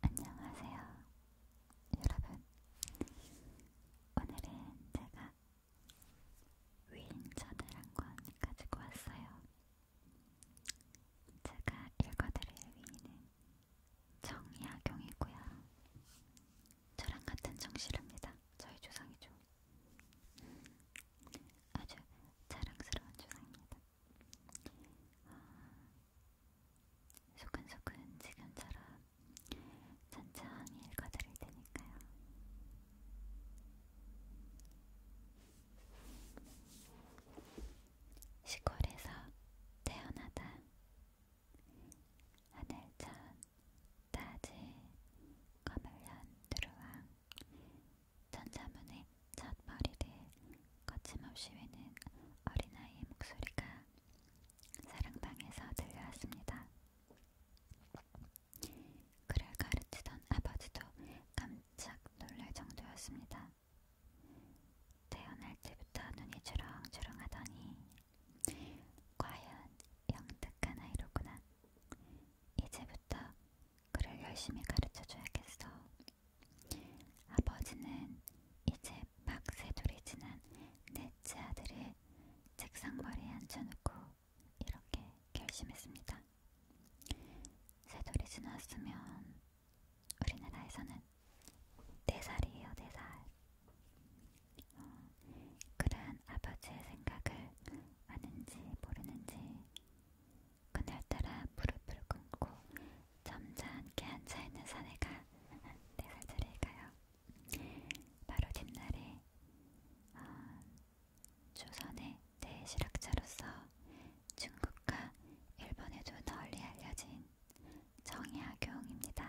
안녕하세요, 여러분. 오늘은 제가 위인전을 한 권 가지고 왔어요. 제가 읽어드릴 위인은 정약용이고요. 저랑 같은 정실입니다. 저희 조상이죠. 음, 아주 자랑스러운 조상입니다. 소근소근 지금처럼 천천히 읽어드릴 테니까요. 시골에서 태어나다 하늘천 따지 거물년 두루왕 천자문의 첫 머리를 거침없이 외는 어린아이의 목소리가 사랑방에서 들려왔습니다. 그를 가르치던 아버지도 깜짝 놀랄 정도였습니다. 태어날 때부터 눈이 주렁주렁하더니 과연 영특한 아이로구나. 이제부터 그를 열심히 가르쳐줘야겠어. 아버지는 이제 막 세돌이 지난 넷째 아들을 책상머리에 앉혀놓고 이렇게 결심했습니다. 세돌이 지났으면 우리나라에서는 네 살이에요, 네 살. 어, 그러한 아버지의 생각을 아는지 모르는지 그날따라 무릎을 꿇고 점잖게 앉아있는 사내가 내가 드릴까요? 바로 뒷날에 어, 조선의 대실학자로서 중국과 일본에도 널리 알려진 정약용입니다.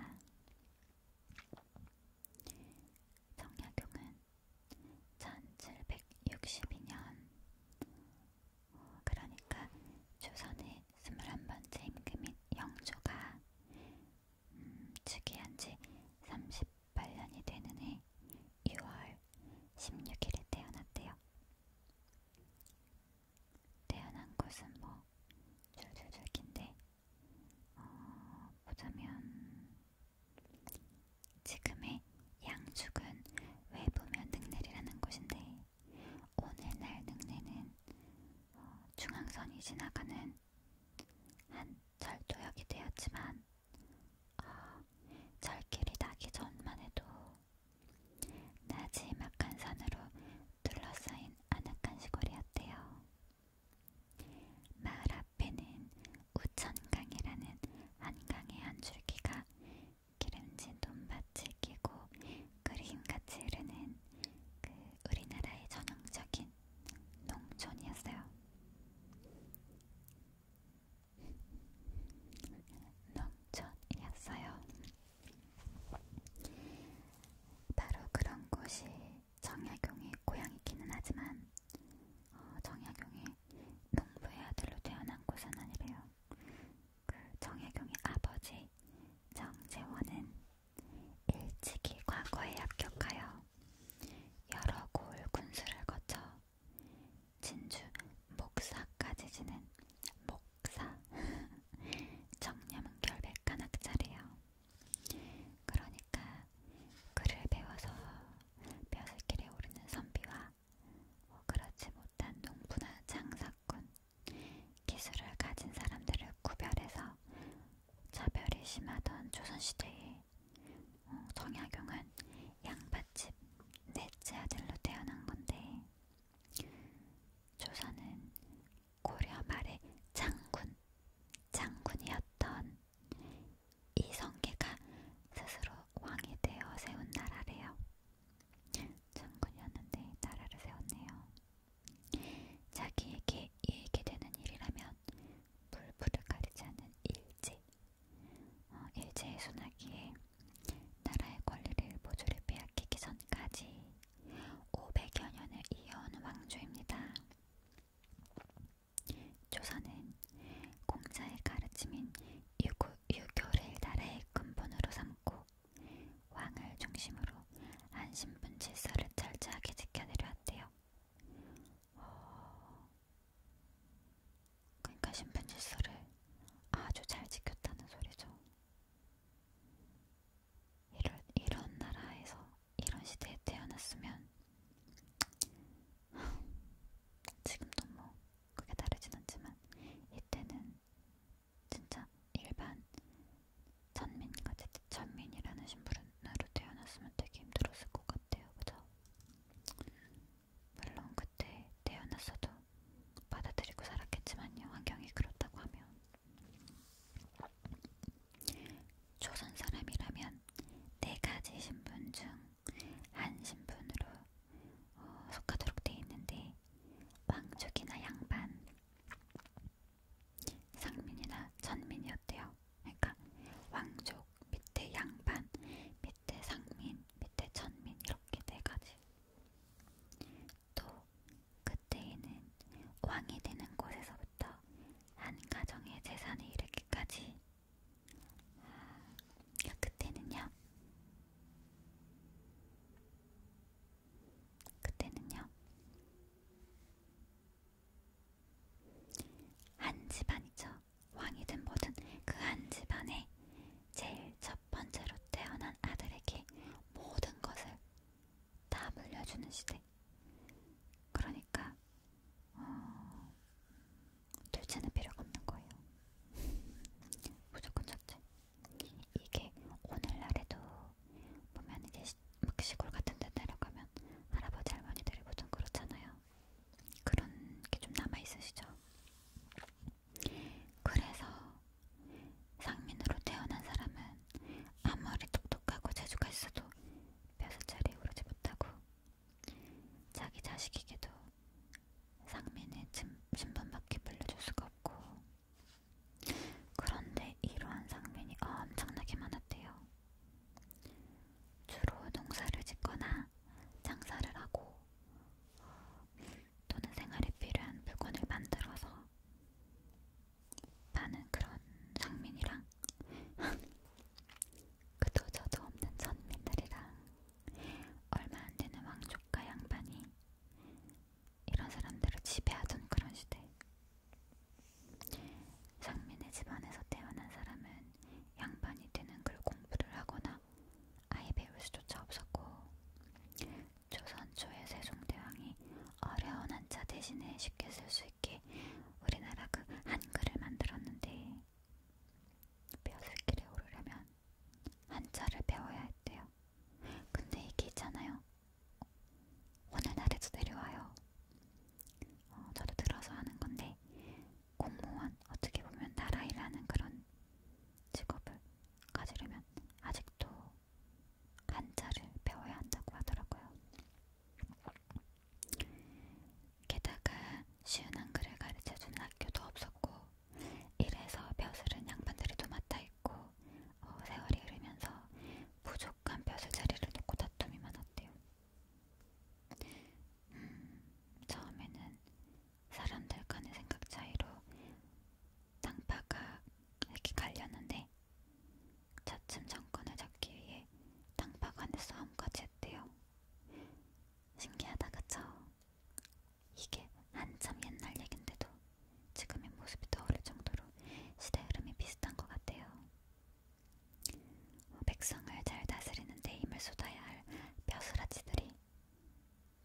정약용은 1762년 그러니까 조선의 21번째 임금인 영조가 음, 즉위한 지 38년이 되는 해 6월 16일에 태어났대요. 태어난 곳은 뭐 줄줄줄 긴데 어, 보자면 지금의 양죽은 외부면 능내리라는 곳인데 오늘날 능내는 어, 중앙선이 지나가는 한 절도역이 되었지만 어, 절길이 나기 전만 해도 나지막한 산으로 둘러싸인 아늑한 시골이었대요. 마을 앞에는 우천강이라는 한강의 한 줄기가 기름진 돈밭을 끼고 그림같이 흐르는 그 우리나라의 전형적인 농촌이었어요. 농촌이었어요. 바로 그런 곳이 정약용의 고향이기는 하지만 어, 정약용이 농부의 아들로 태어난 곳은 아니래요. 그 정혜경의 아버지 정재원은 일찍이 과거에 합격하여 여러 고을 군수를 거쳐 진주 목사까지 지는 목사 정념은 결백한 학자래요. 그러니까 글을 배워서 벼슬길에 오르는 선비와 그렇지 못한 농부나 장사꾼, 기술을 가진 사람들을 구별해서 차별이 심하던 조선시대에 어, 정약용은 양밭집 넷째 아들로 태어난 건데 조선은 고려 말의 장군, 장군이었던 이성계가 스스로 왕이 되어 세운 나라래요. 장군이었는데 나라를 세웠네요. 자기에게 이익이 되는 일이라면 물불을 가리지 않는 일제. 어, 일제의 소나기에 나라의 권리를 모조리 빼앗기기 전까지 500여 년을 이어온 왕조입니다. 조선은 공자의 가르침인 유구, 유교를 나라의 근본으로 삼 않고 왕을 중심으로 한 신분 질서를 철저하게 지켜내려 했대요. 어... 그러니까 신분 질서를 아주 잘 지켰다는 소리죠. 이런, 이런 나라에서 이런 시대에 태어났으면 지금도 뭐 크게 다르진 않지만 이때는 진짜 일반 천민같이 천민이라는 신부로 태어났으면 되게 힘들었을 것 같아요. 그죠? 물론 그때 태어났어도 받아들이고 살았겠지만요. 환경이 그렇다고 하면 조선 사람이라면 네 가지 신분 중 한 신분으로 어, 속하도록 돼 있는데 왕족이나 양반, 상민이나 전민이었대요. 그러니까 왕족 밑에 양반, 밑에 상민, 밑에 전민 이렇게 네 가지. 또 그때에는 왕이 되는 곳에서부터 한 가정의 재산에 이르기까지. 아, 그러니까 그때는요. 그때는요. 한 집안이죠. 왕이든 뭐든 그 한 집안에 제일 첫 번째로 태어난 아들에게 모든 것을 다 물려주는 시대. 그러니까 어, 둘째는 필요가 없는 거예요. 무조건 첫째. 이게 오늘날에도 보면 이제 시, 막 시골 같은 데 내려가면 할아버지 할머니들이 보통 그렇잖아요. 그런 게 좀 남아 있으시죠? 그래서 상민으로 태어난 사람은 아무리 똑똑하고 재주가 있어도 몇 살짜리 오르지 못하고 자기 자식에게도 상민의 신분밖에 빌려줄 수가 없고 그런데 이러한 상민이 엄청나게 많았대요. 주로 농사를 짓거나 장사를 하고 또는 생활에 필요한 물건을 만들어서 많은 그런 상민이랑 그도 저도 없는 전민들이랑 얼마 안되는 왕족과 양반이 이런 사람들을 지배하던 그런 시대. 상민의 집안에서 태어난 사람은 양반이 되는 글 공부를 하거나 아예 배울 수조차 없었고 조선 초의 세종대왕이 어려운 한자 대신에 쉽게 쓸 수 있게 우리나라 그 한글을 만들었는데 벼슬길에 오르려면 한자를 배워야 했대요. 근데 이게 있잖아요. 오늘날에도 내려와요. 어, 저도 들어서 하는 건데 공무원 어떻게 보면 나라 일하는 그런 직업을 가지려면 아직도 한자를 배워야 한다고 하더라고요. 게다가 쉬운 한글을 가르쳐주는 학교도 없었고 이래서 벼슬은 양반들이 도맡아 있고 어, 세월이 흐르면서 부족한 벼슬 자리를 놓고 다툼이 많았대요. 음, 처음에는 사람들 간의 생각 차이로 땅파가 이렇게 갈렸는데 차츰 정권을 잡기 위해 땅파 간의 싸움까지 했대요. 신기하다 그쵸? 이게 한참 옛날 얘긴데도 지금의 모습이 떠오를 정도로 시대 흐름이 비슷한 것 같아요. 백성을 잘 다스리는데 힘을 쏟아야 할 벼슬아치들이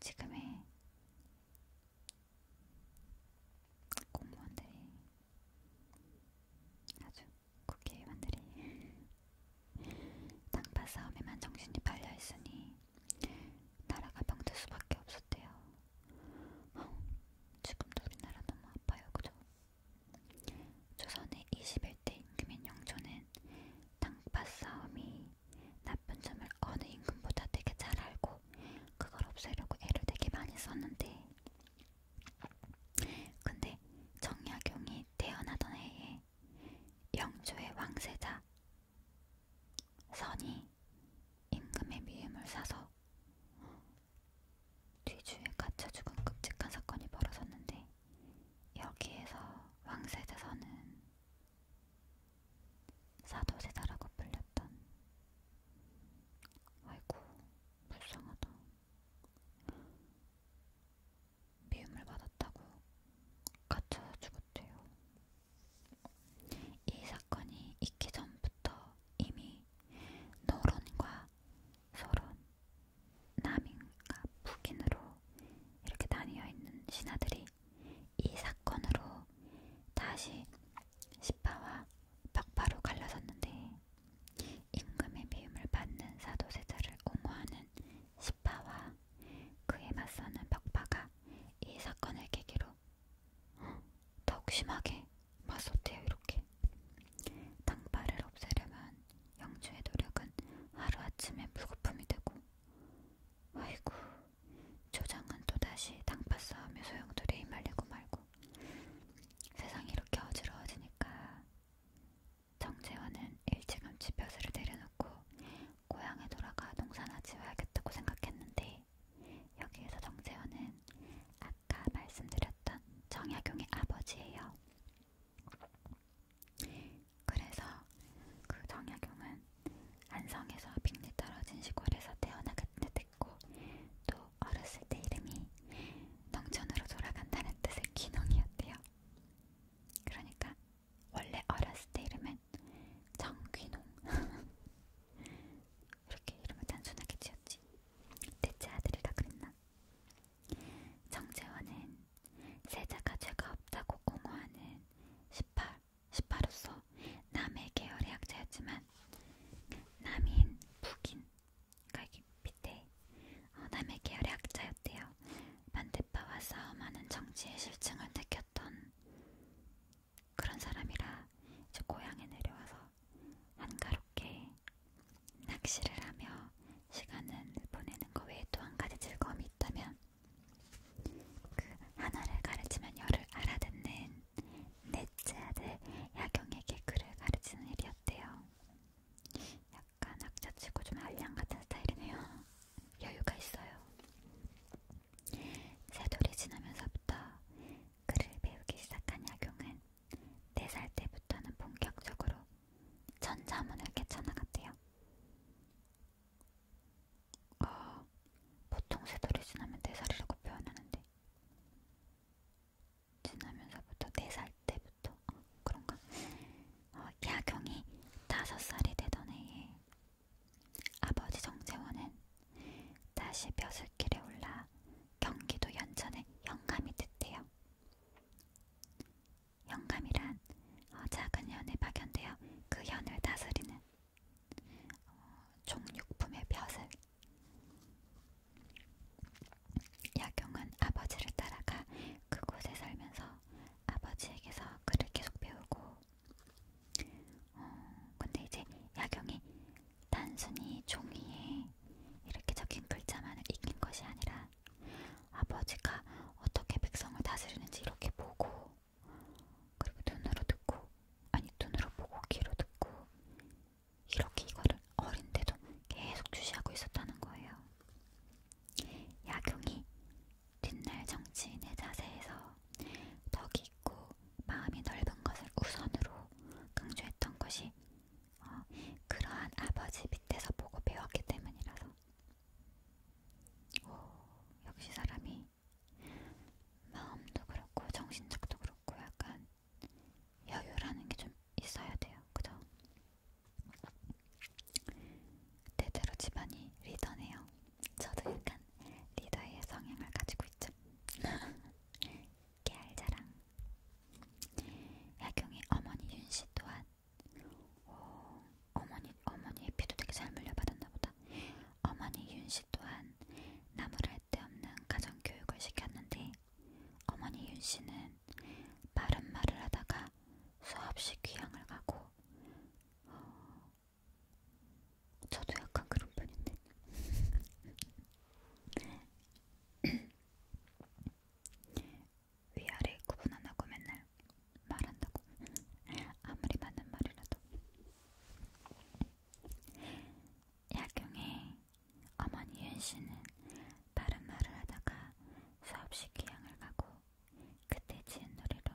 지금의 공무원들이 아주 국회의원들이 땅파 싸움에만 정신이 팔려 있으니 나라가 병들 수밖에 없었대요. 어, 지금도 우리나라 너무 아파요, 그죠? 조선의 21대 임금인 영조는 땅밭 싸움이 나쁜 점을 어느 임금보다 되게 잘 알고 그걸 없애려고 애를 되게 많이 썼는데 근데 정약용이 태어나던 해에 영조의 왕세자 선이 임금의 미움을 사서 뒤주에 갇혀 죽은 끔찍한 사건이 벌어졌는데 여기에서 왕세자선은 사도세자라고 불렸던 아이고 불쌍하다 미움을 받았다고 갇혀 죽었대요. 이 사건이 있기 전부터 이미 노론과 소론, 남인과 북인으로 이렇게 나뉘어 있는 신하들이 이 사건으로 다시 시파와 박파로 갈라섰는데 임금의 미움을 받는 사도세자를 옹호하는 시파와 그에 맞서는 박파가 이 사건을 계기로 더욱 심하게 맞섰대요 이렇게 땅바를 없애려면 영주의 노력은 하루아침에 물거품이 되고 아이고 조장은 또다시 땅파 싸움에 소용돌이에 말리고 말고 세상이 이렇게 어지러워지니까 정재원은 일찌감치 벼슬을 내려놓고 고향에 돌아가 농사나 지어야겠다고 생각했는데 여기에서 정세호는 아까 말씀드렸던 정약용의 아버지예요. 그래서 그 정약용은 안성에서 빙리 떨어진 시골에서 태어나게 됐고 또 어렸을 때 이름이 농촌으로 돌아간다는 뜻의 귀농이었대요. 그러니까 원래 어렸을 때 이름은 이름은 정귀농 이렇게 이름을 단순하게 지었지 대체 아들이라 그랬나? 정재원은 세자가 죄가 없다고 옹호하는 18, 18로서 남의 계열의 학자였지만 남인, 북인 그러니까 여기 밑에 어, 남의 계열의 학자였대요 반대파와 싸움하는 정치의 실증을 느꼈던 그런 사람이라 이제 고향에 내려와서 한가롭게 낚시를 하며 시간을 보내는 것 외에 또 한 가지 즐거움이 있다면 그 하나를 가르치면 열을 알아듣는 넷째 아들 야경에게 글을 가르치는 일이었대요. 약간 악자치고 좀 알량 같은 스타일이네요. 여유가 있어요. 세돌이 지나면서부터 글을 배우기 시작한 약용은 4살 때부터는 본격적으로 전자문을 깨쳐나갔대요. 어, 보통 세돌이 지나면 4살이라고 표현하는데 지나면서부터 4살 때부터 어, 그런가? 어, 야경이 5살이 되던 해에 아버지 정재원은 다시 벼슬길에 올라 경기도 연천에 영감이 됐대요. 영감이란 어, 작은 현에 파견되어 그 현을 다스리는 어, 종육품의 벼슬. 야경은 아버지를 따라가 그곳에 살면서 아버지에게서 글을 계속 배우고 어, 근데 이제 야경이 단순히 종이에 이렇게 적힌 글자만을 익힌 것이 아니라 아버지가 어떻게 백성을 다스리는지 이렇게 보고 그리고 눈으로 듣고 아니 눈으로 보고 귀로 듣고 이렇게 이거를 어린데도 계속 주시하고 있었다는 거예요. 야경이 뒷날 정치인의 자세에서 덕이 있고 마음이 넓은 것을 우선으로 강조했던 것이 어, 그러한 아버지 밑에서 보고 배웠기 때문이라서 오, 역시 사람이 마음도 그렇고 정신적도 그렇고 약간 여유라는 게 좀 있어야 돼요, 그죠? 대대로 집안이 리더네요. 저도 약간 리더의 성향을 가지고 있죠. 깨알자랑 야경의 어머니 윤씨 또한 오, 어머니, 어머니의 피도 되게 잘 물려받았나 보다. 어머니 윤씨 또한 나무랄 데 없는 가정교육을 시켰는데 어머니 윤씨는 바른 말을 하다가 수없이 귀향을 가고 어, 저도 약간 그런 편인데. 위아래 구분 안 하고 맨날 말한다고. 아무리 맞는 말이라도. 야경에 어머니 윤씨는 다른 말을 하다가 수없이 귀향을 가고 그때 지은 노래로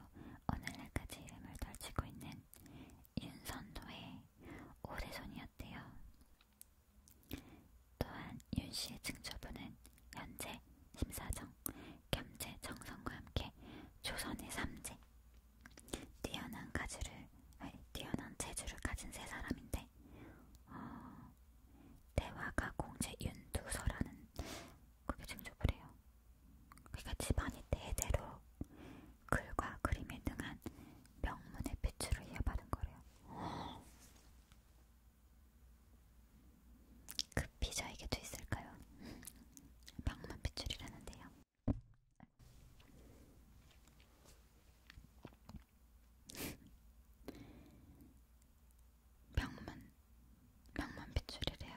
오늘날까지 이름을 떨치고 있는 윤선도의 오대손이었대요. 또한 윤씨의 증조부는 현재 심사정, 겸재 정성과 함께 조선의 삼재, 뛰어난 가주를, 아니, 뛰어난 재주를 가진 세 사람인데, 어, 대화가 공제 윤두서라는 그게 증조부래요. 그러니까 집안이 대대로 글과 그림이 등한 명문의 빛으로 이어받은 거래요. 그 피자에게도 있을까요? 명문 빛줄이라는데요. 명문, 명문 빛줄이래요.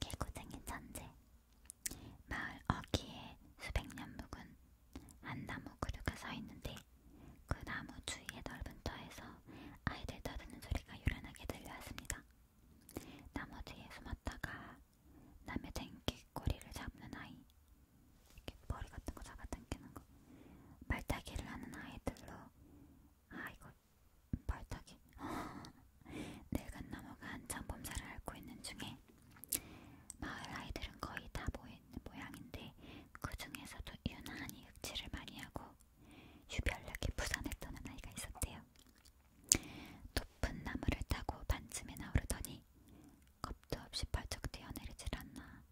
개구쟁이 천재 마을 어귀에 수백 년 묵은 한 나무 그루가 서 있는데 그 나무 주위의 넓은 터에서 아이들 떠드는 소리가 요란하게 들려왔습니다. 나무 뒤에 숨었다가 남의 댕기 꼬리를 잡는 아이 이렇게 머리 같은 거 잡아당기는 거 말타기를 하는 아이들로 아 이거 벌떡이 늙은 나무가 한창 봄살을 앓고 있는 중에 마을 아이들은 거의 다 모인 모양인데 그 중에서도 유난히 흑질을 많이 하고 유별나게 부산했다는 아이가 있었대요. 높은 나무를 타고 반쯤이나 오르더니 겁도 없이 발쩍 뛰어내리질 않나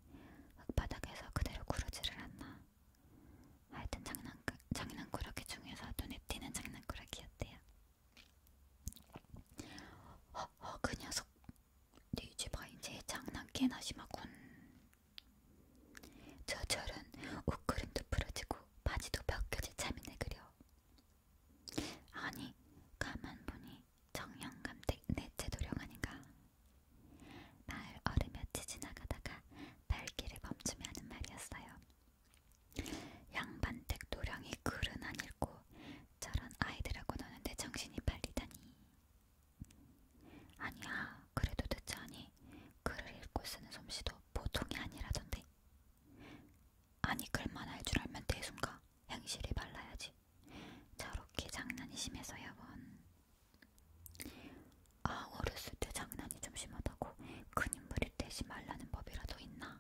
흙바닥에서 그대로 구르지를 않나 하여튼 장난, 장난꾸러기 중에서 눈에 띄는 장난꾸러기였대요. 거예요. 허허 그 녀석 네 집아 이제 장난개나 심하군. 저 절은 옷그림도 부러지고 바지도 벗겨질 참이네 그려. 아니 가만 보니 정형감댁 내채 도령 아닌가. 마을 어르며치 지나가다가 발길을 멈추며 하는 말이었어요. 양반댁 노량이 글은 안 읽고 저런 아이들하고 노는데 정신이 팔리다니. 아니야, 그래도 듣자니 글을 읽고 쓰는 솜씨도 보통이 아니라던데. 아니 글만 할 줄 알면 대순가 행실이 발라야지. 저렇게 장난이 심해서 여건. 아 어렸을 때 장난이 좀 심하다고 큰 인물이 흐릿해지 말라는 법이라도 있나?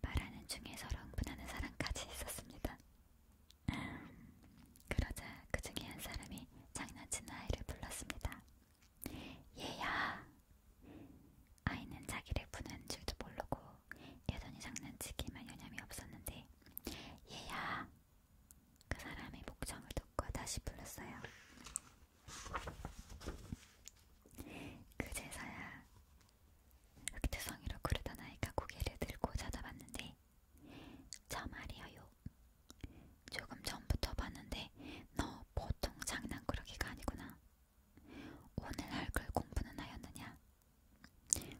말하는 중에 서로 흥분하는 사람까지 있었습니다. 그러자 그 중에 한 사람이 장난치는 아이를 불렀습니다. 얘야! 아이는 자기를 부는 줄도 모르고 여전히 장난치기만 여념이 없었는데 얘야! 그 사람의 목청을 듣고 다시 불렀어요. 그제서야 흑투성이로 구르던 아이가 고개를 들고 쳐다봤는데 저 말이에요. 조금 전부터 봤는데 너 보통 장난꾸러기가 아니구나. 오늘 할 글 공부는 하였느냐?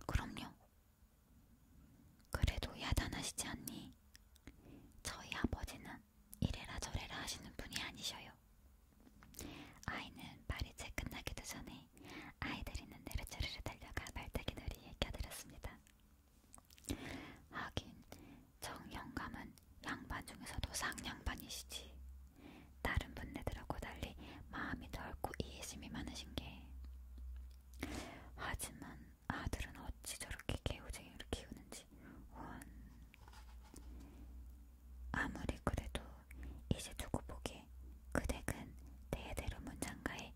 그럼요. 그래도 야단하시지 않니? 저희 아버지는 이래라 저래라 하시는 분이 아니셔요. 아이는 말이 채 끝나기도 전에 아이들 있는 대로 자르르 달려가 발대기 놀이에 껴들었습니다. 하긴 정영감은 양반 중에서도 상양반이시지. 다른 분네들하고 달리 마음이 넓고 이해심이 많으신 게. 하지만 아들은 어찌 저렇게 개우쟁이를 키우는지 원. 아무리 그래도 이제 두고 보기 그댁은 대대로 문장가에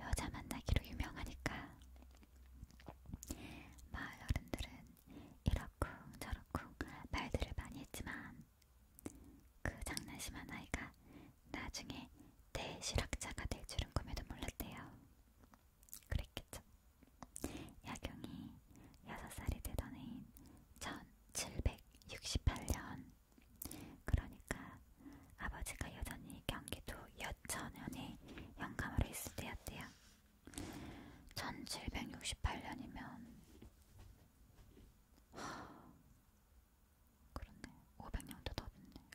여자 만나기로 유명하니까 마을 어른들은 이러쿵 저러쿵 말들을 많이 했지만 그 장난심한 아이가 나중에 대실학자가 될 줄은 꿈에도 몰랐대요. 그랬겠죠. 야경이 6살이 되던 해인 1768년 그러니까 아버지가 여전히 경기도 여천연에 영감으로 있을 때였대요. 1768년이면 하... 그렇네. 500년도 더 됐네.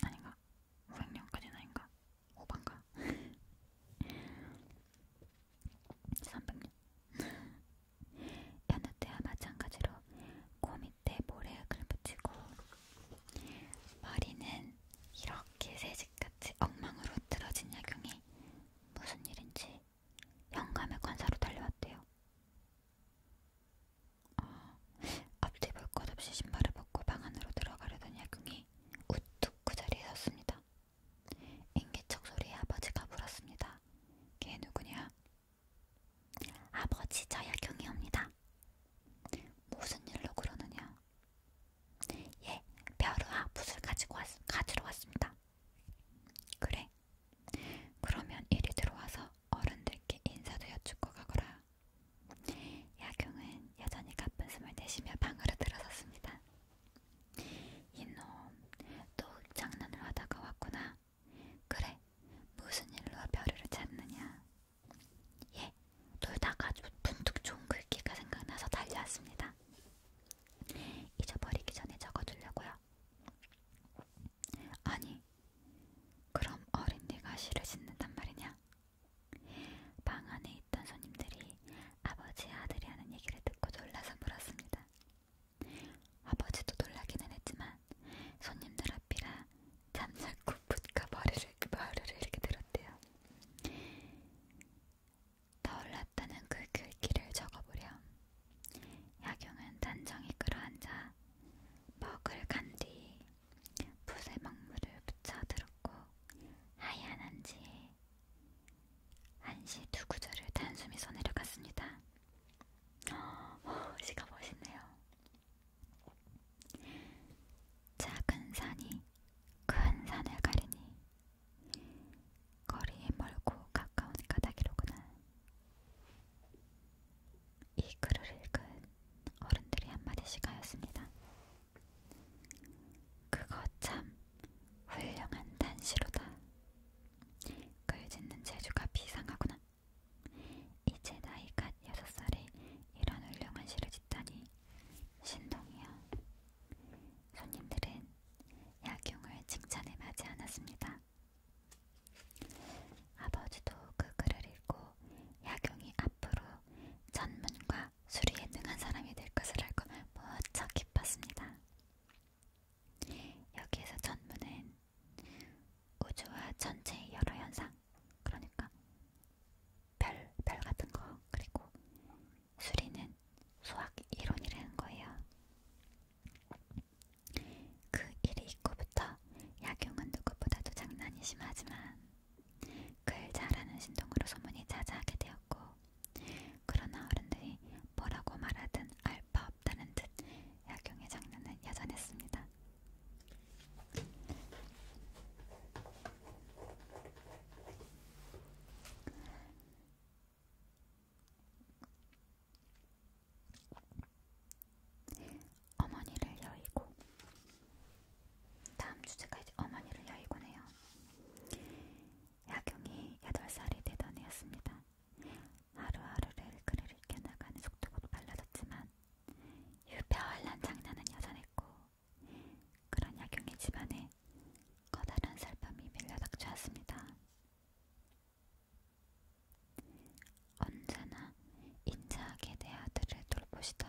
아닌가? 500년까지는 아닌가? 5반가? 300년 여느 때와 마찬가지로 코 밑에 모래액을 붙이고 머리는 이렇게 새집같이 엉망으로 틀어진 야경이 무슨 일인지 영감의 관사로 달려왔대요. 앞뒤 볼 것 없이 신발을 벗고 방 안으로 들어가려던 야경이 우뚝 그 자리에 섰습니다. 인기척 소리에 아버지가 물었습니다. 걔 누구냐? 아버지 저 야경이옵니다. 무슨 일로 그러느냐? 예, 벼루와 붓을 가지고 왔, 가지러 왔습니다. 그래? 그러면 이리 들어와서 어른들께 인사도 여쭙고 가거라. 야경은 여전히 가쁜 숨을 내쉬며 방으로 들어섰습니다. 이놈, 또 장난을 하다가 왔구나. 그래, 무슨 일로 별이를 찾느냐? 예, 놀다가 분뜩 좋은 글귀가 생각나서 달려왔습니다. 잊어버리기 전에 적어두려고요. 아니, 그럼 어린 네가 시를 짓는단 말이냐? 방 안에 있던 손님들이 아버지의 아들이 하는 얘기를 듣고 놀라서 물었습니다. 아버지도 놀라기는 했지만 손님들 앞이라 잠자코 붓가 머리를, 머리를 이렇게 들었대요. 떠올랐다는 그 글귀를 적어보렴. 야경은 단정히 끌어앉아 먹을 간뒤 부세먹물을 붙여들었고 하얀 한지에 한시 두 구절을 단숨이 써내려갔습니다. 시가 멋있네요. 작은 산이 큰 산을 가리니 거리 멀고 가까운 가닥이로구나. 이 글을 읽은 어른들이 한마디씩 하였습니다. 그거 참 훌륭한 단시로다. 글 짓는 재주가 비상하구나. 이제 나이가 여섯 살에 이런 훌륭한 시를 짓다니 신동이야. 손님들은 약용을 칭찬에 맞지 않았습니다. 아버지도 그 글을 읽고 야경이 앞으로 전문과 수리에 능한 사람이 될 것을 알고 무척 기뻤습니다. 여기에서 전문은 우주와 전체의 여러 현상, 그러니까 별, 별 같은 거, 그리고 수리는 수학 이론이라는 거예요. 그 일이 있고부터 약용은 누구보다도 장난이 심하지만 글 잘하는 신동으로 소문이 자자하게 되었고 그러나 어른들이 뭐라고 말하든 알바 없다는 듯 약용의 장난은 여전했습니다. 어머니를 여의고 다음 주제가 이제 어머니를 여의고네요. 야경이 8살이 되던 해였습니다. 하루하루를 그를 익혀나가는 속도가 빨라졌지만 유별난 장난은 여전했고 그런 야경의 집안에 커다란 살밤이 밀려닥쳐왔습니다. 언제나 인자하게 내 아들을 돌보시던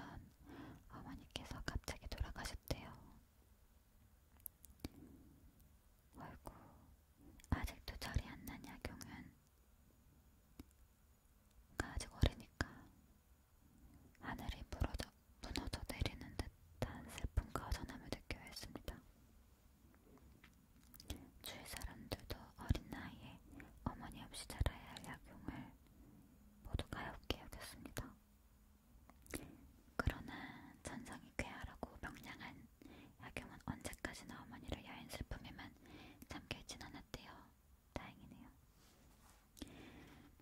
어머니께서 갑자기 돌아가셨대요. 아이고, 아직도 절이 안 나냐, 경은. 아직 어리니까 하늘이 무너져, 무너져 내리는 듯한 슬픔과 전함을 느껴 했습니다. 주위 사람들도 어린 나이에 어머니 없이 자라야 할 약용을 모두 가엾게 여겼습니다. 그러나 천상이 쾌활하고 명량한 약용은 언제까지나 어머니를 여인 슬픔에만 잠게 하진 않았대요. 다행이네요.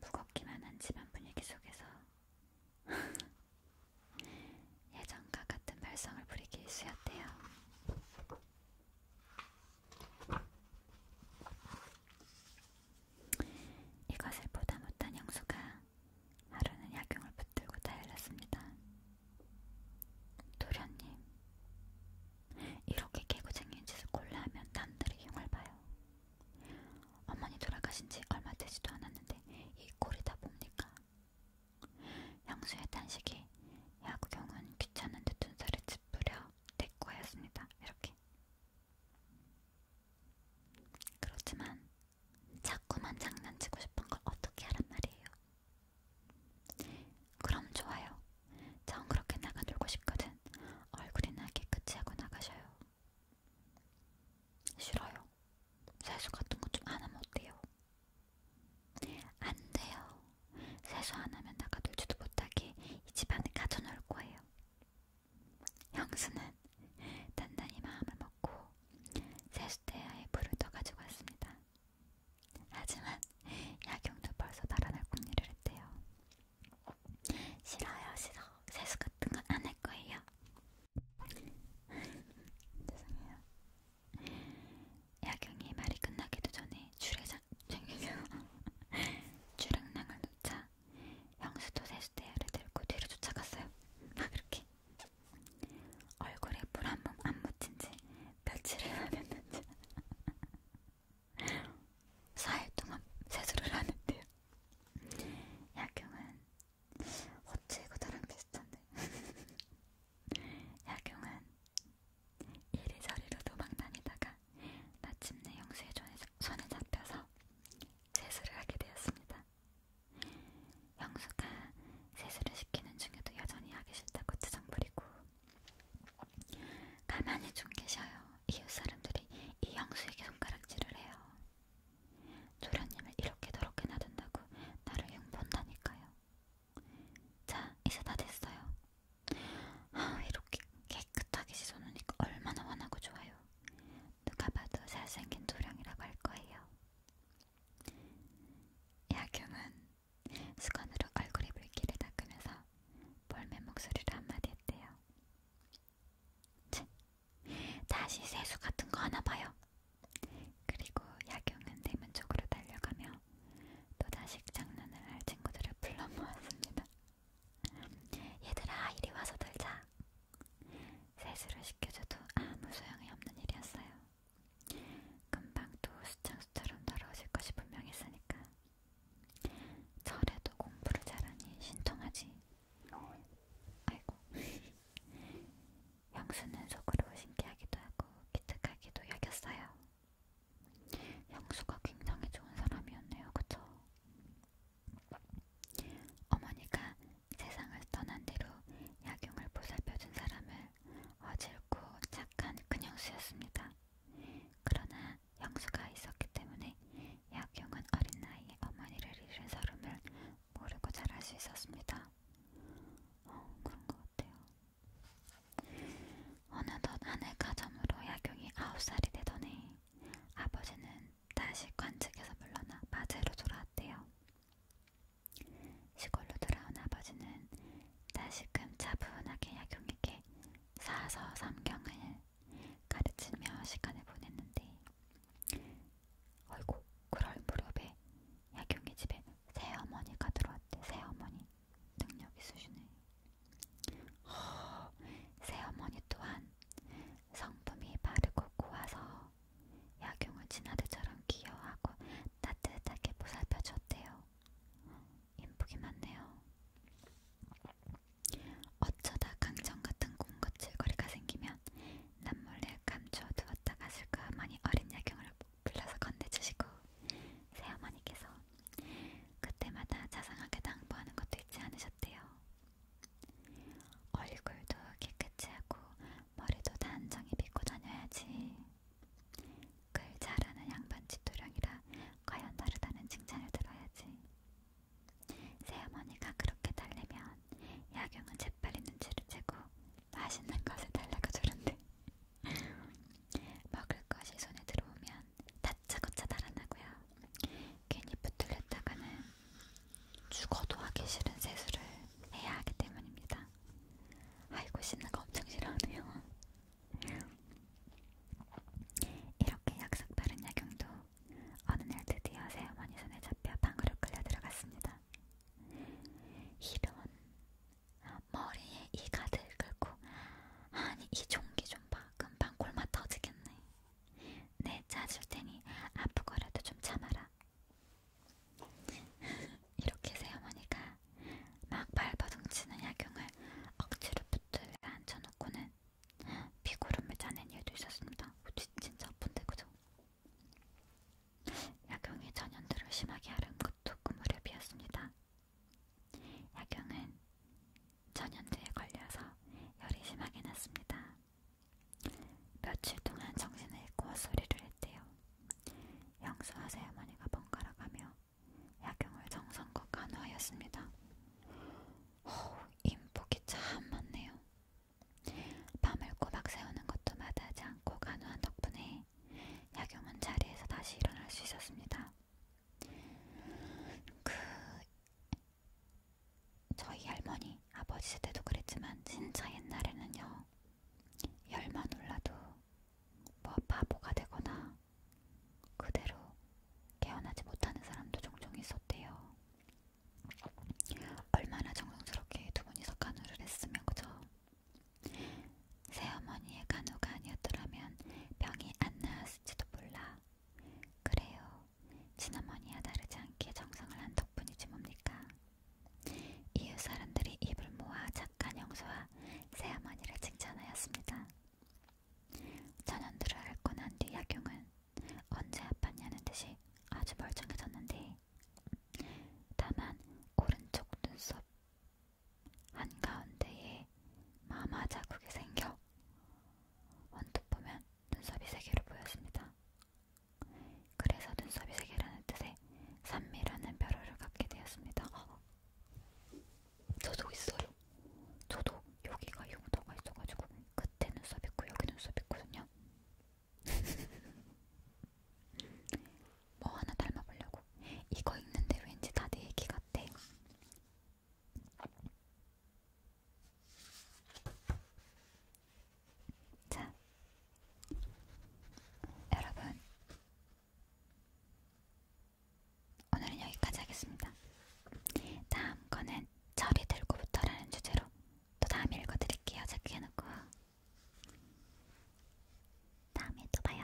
무겁기만 한 집안 분위기 속에서 예전과 같은 발성을 부리기 일쑤였대요. 이것을 보다 못한 영수가 하루는 약용을 붙들고 달렸습니다. 도련님, 이렇게 개구쟁이 짓을 골라하면 남들이 용을 봐요. 어머니 돌아가신 지 얼마 되지도 않았는데 이 꼴이 다 뭡니까? 영수의 단식이 야구경은 귀찮은 듯 눈살을 뿌려 내 거였습니다. 이렇게. 그렇지만 자꾸만 장난치고 싶은 걸 어떻게 하란 말이에요. 그럼 좋아요. 전 그렇게 나가 놀고 싶거든. 얼굴이나 깨끗이 하고 나가셔요. 싫어요. 세수 같은 거 좀 안 하면 어때요? 안 돼요. 세수 안 하면 나가들지도 못하게 이 집안에 가져놓을 거예요. 형수는 단단히 마음을 먹고 세수대야에 불을 떠가지고 왔습니다. 하지만 야경도 벌써 달아날 궁리를 했대요. 싫어요, 싫어. 세수 같은 건 안 할 거예요. 죄송해요. 야경이 말이 끝나기도 전에 주례장 주랑랑을 놓자 형수도 세수대야를 들고 뒤로 쫓아갔어요. 막 이렇게 얼굴에 물한번안 묻힌 지 며칠을 안 했는지 4일 동안 세수를 안 했대요. 야경은 어째 이거 다랑 비슷한데 야경은 이리저리로 도망다니다가 마침내 영수의 손에 잡혀서 세수를 하게 되었습니다. 영수가 세수를 시키는 중에도 여전히 하기 싫다고 투정 부리고 가만히 좀 계셔요. 이웃 사람들이 이 영수에게 손가락질을 해요. 조련님을 이렇게 더럽게 놔둔다고 나를 흉본다니까요. 자, 이제 다 됐어요. 아, 이렇게 깨끗하게 씻어놓으니까 얼마나 환하고 좋아요. 누가 봐도 잘생긴 도령이라고 할 거예요. 야경은 수건으로 얼굴에 물기를 닦으면서 볼매 목소리를 한마디 했대요. 치, 다시 세수 같은 거 하나 봐요. 그리고 야경은 대문 쪽으로 달려가며 또다시 장난을 할 친구들을 불러 모았습니다. 얘들아 이리 와서 놀자. 세수를 시켜줘도 아무 소용이 없는 일이었어요. 금방 또 수창수처럼 날아오실 것이 분명했으니까. 절에도 공부를 잘하니 신통하지. 아이고. 영수는 속으로 신기하기도 하고 기특하기도 여겼어요. 형수가 굉장히 좋은 사람이었네요. 그쵸? 어머니가 세상을 떠난 뒤로 약용을 보살펴준 사람을 어질고 착한 큰형수였습니다. 그러나 형수가 있었기 때문에 약용은 어린 나이에 어머니를 잃은 서름을 모르고 자랄 수 있었습니다. 어, 그런 것 같아요. 어느덧 한해 가점으로 야경이 아홉 살이 되던 해 아버지는 다시 관측에서 물러나 마제로 돌아왔대요. 시골로 돌아온 아버지는 다시금 차분하게 야경에게 사서 삼경을 가르치며 시간을 보냈는데 어이구 그럴 무렵에 야경이 집에 새어머니가 들어왔대. 새어머니 능력 있으시네. 허, 새어머니 또한 성품이 바르고 고와서 약용을 진아들처럼 귀여워하고 따뜻하게 보살펴줬대요. 인복이 많네요. 어쩌다 강정 같은 공급질거리가 생기면 남몰래 감춰두었다 갔을까 하니 어린 야경을 불러서 건네주시고 새어머니께서 그때마다 자상하게 당부하는 것도 잊지 않으셨대요. 얼굴도 깨끗이 하고 머리도 단정히 빗고 다녀야지. 글 잘하는 양반 집도령이라 과연 다르다는 칭찬을 들어야지. 새어머니가 그렇게 달래면 야경은 재빨리 눈치를 채고 맛있는 것을 달라고 주는데 먹을 것이 손에 들어오면 다짜고짜 달아나고요. 괜히 붙들렸다가는 죽어도 하기 싫은 세수를 해야 하기 때문입니다. 아이고 씻는 거 엄청 싫어하네요. 이렇게 약속 다른 야경도 어느 날 드디어 새어머니 손에 잡혀 방으로 끌려 들어갔습니다. 이런 머리에 이가득 긁고 아니 이 종기 좀 봐 금방 골마 터지겠네 내 네, 짜줄 테니 아프거라도 좀 참아라 이렇게 새어머니가 막 발버둥치는 약용을 억지로 붙들려 앉혀놓고는 비구름을 짜낸 일도 있었습니다 진짜 아픈데 그죠? 약용이 전연들을 심하게 하른 것도 그 무렵이었습니다 약용은 전염두에 걸려서 열이 심하게 났습니다. 며칠 동안 정신을 잃고 소리를 했대요. 영수와 새어머니가 번갈아 가며 약용을 정성껏 간호하였습니다. 오, 인복이 참 많네요. 밤을 꼬박 세우는 것도 마다하지 않고 간호한 덕분에 약용은 자리에서 다시 일어날 수 있었습니다. 그 저희 할머니, 아버지 때도 그랬지만 진짜 옛날에는요. 열만 올라도 뭐 바보가 되거나 그대로 깨어나지 못하는 사람도 종종 있었대요. 얼마나 정성스럽게 두 분이서 간호를 했으면 그죠? 새어머니의 간호가 아니었더라면 병이 안 나았을 나왔을지도 몰라. 그래요. 지난번이야 다르지 않게 정성을 한 덕분이지 뭡니까. 이웃 사람들이 입을 모아 착한 영수와 새어머니를 칭찬하였습니다. 전연두를 앓고 난 뒤 약용은 언제 아팠냐는 듯이 아주 멀쩡해졌는데 다만 오른쪽 눈썹 한가운데에 마마 자국이 생겨 언뜻 보면 눈썹이 세 개로 보였습니다. 그래서 눈썹이 세 개라는 뜻의 산미라는 별호를 갖게 되었습니다. 저도 있어요. 저도 여기가 흉터가 있어가지고 그때 눈썹 있고 여기 눈썹 있거든요. 뭐 하나 닮아보려고 이거 읽는데 왠지 다 내 얘기 같대. 자, 여러분, 오늘은 여기까지 하겠습니다. 다음 거는 절이 들고부터라는 주제로 또 다음에 읽어드릴게요. 체크해놓고 다음에 또 봐요.